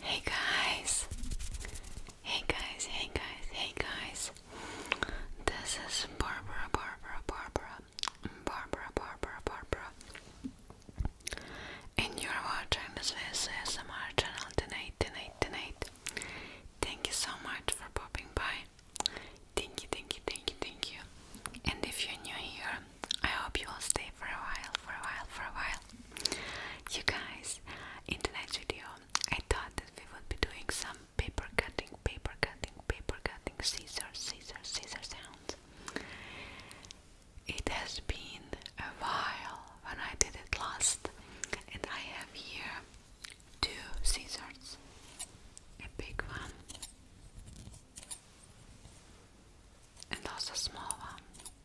Hey guys, hey guys, hey guys, hey guys. This is Barbara, Barbara, Barbara, Barbara, Barbara, Barbara. And you're watching this ASMR channel tonight, tonight, tonight. Thank you so much for popping by. Thank you, thank you, thank you, thank you. And if you're new here, I hope you all stay for a while, for a while, for a while. You guys, in the next video, I thought that we would be doing some paper cutting, paper cutting, paper cutting, scissors, scissors, scissors sounds. It has been a while when I did it last, and I have here two scissors, a big one and also a small one.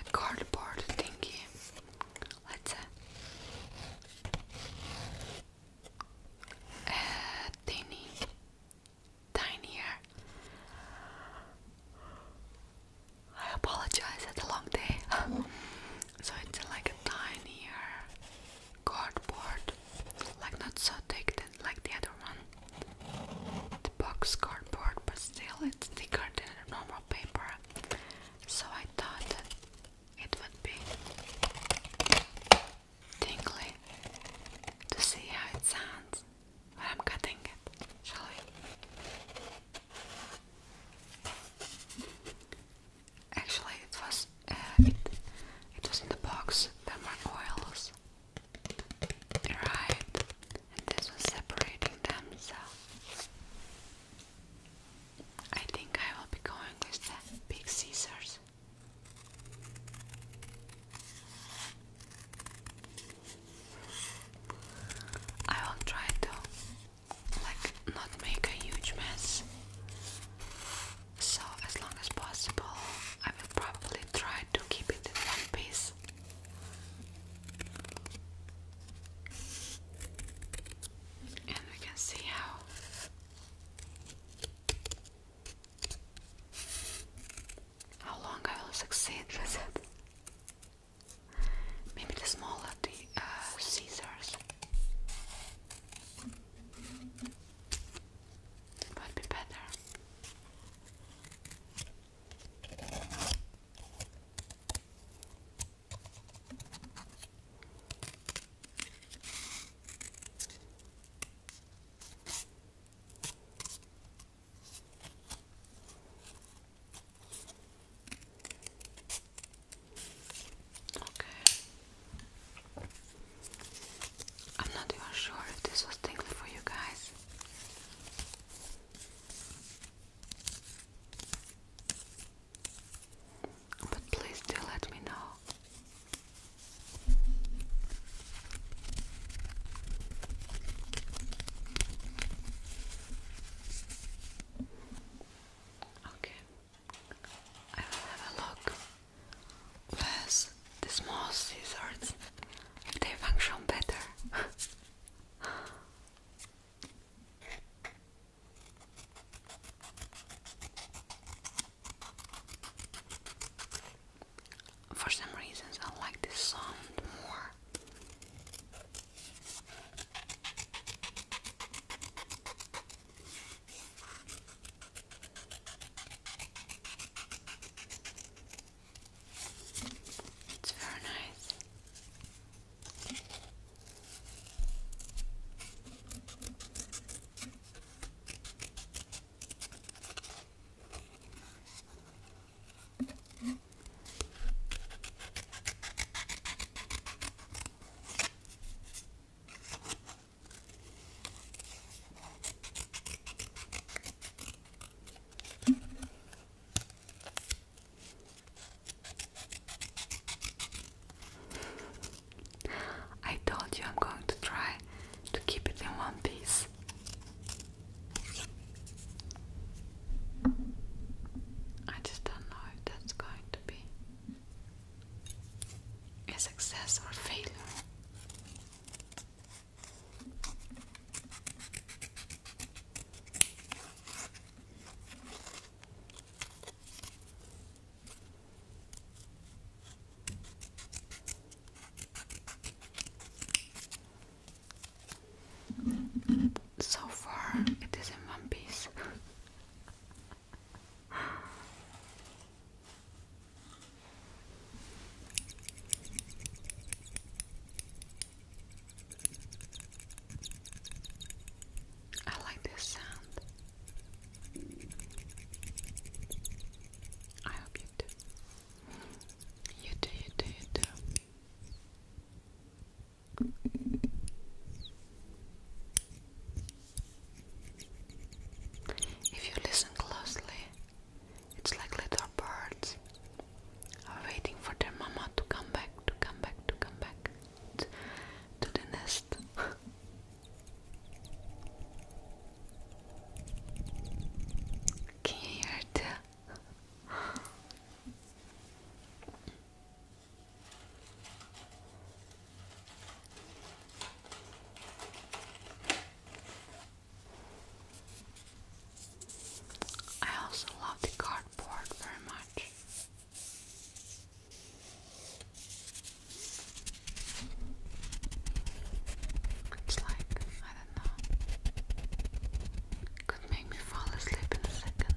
a cardboard thingy. Let's say uh, a uh, tiny, tinier. I apologize. It's a long day, so it's like a tinier cardboard, like not so thick than like the other one box cardboard, but still it's thicker than normal paper. So I thought that it would be tingly to see how it sounds I'm cutting it. Shall we? Actually, it was uh, it, it was in the box. There were oils. Right, and this was separating them, so I think I will be going with the big scissors. I will try to like not make a huge mess. So as long as possible I will probably try to keep it in one piece and we can see how how long I will succeed with it. Maybe the smaller the uh, scissors would be better. Okay. I'm not even sure if this was tingly for you guys. But please do let me know. Okay, I will have a look. Where's the small scissors? If they function better. For some reasons, I like this sound more. It's very nice. I told you I'm going to try to keep it in one piece. I just don't know if that's going to be a success or failure. So far, it is in one piece. I like this sound. I hope you do. You do, you do, you do. If you listen closely, it's like little birds are waiting for their mama to come back, to come back, to come back to the nest. Can you hear it? I also love the cardboard very much. It's like, I don't know, could make me fall asleep in a second.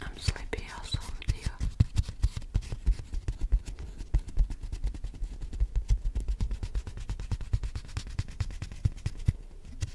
I'm sleepy also with you.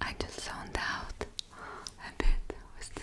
I just zoned out a bit with this.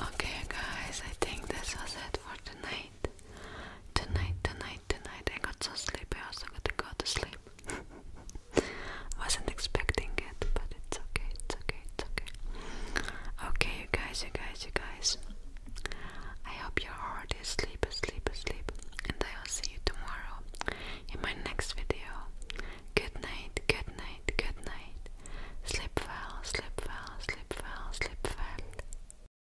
Okay, guys, I think this was it for tonight. Tonight, tonight tonight. I got so sleepy, I also got to go to sleep. Wasn't expecting it, but it's okay, it's okay, it's okay. Okay, you guys, you guys, you guys. I hope you're already asleep, asleep, asleep. And I'll see you tomorrow in my next video. Good night, good night, good night. Sleep well, sleep well, sleep well, sleep well.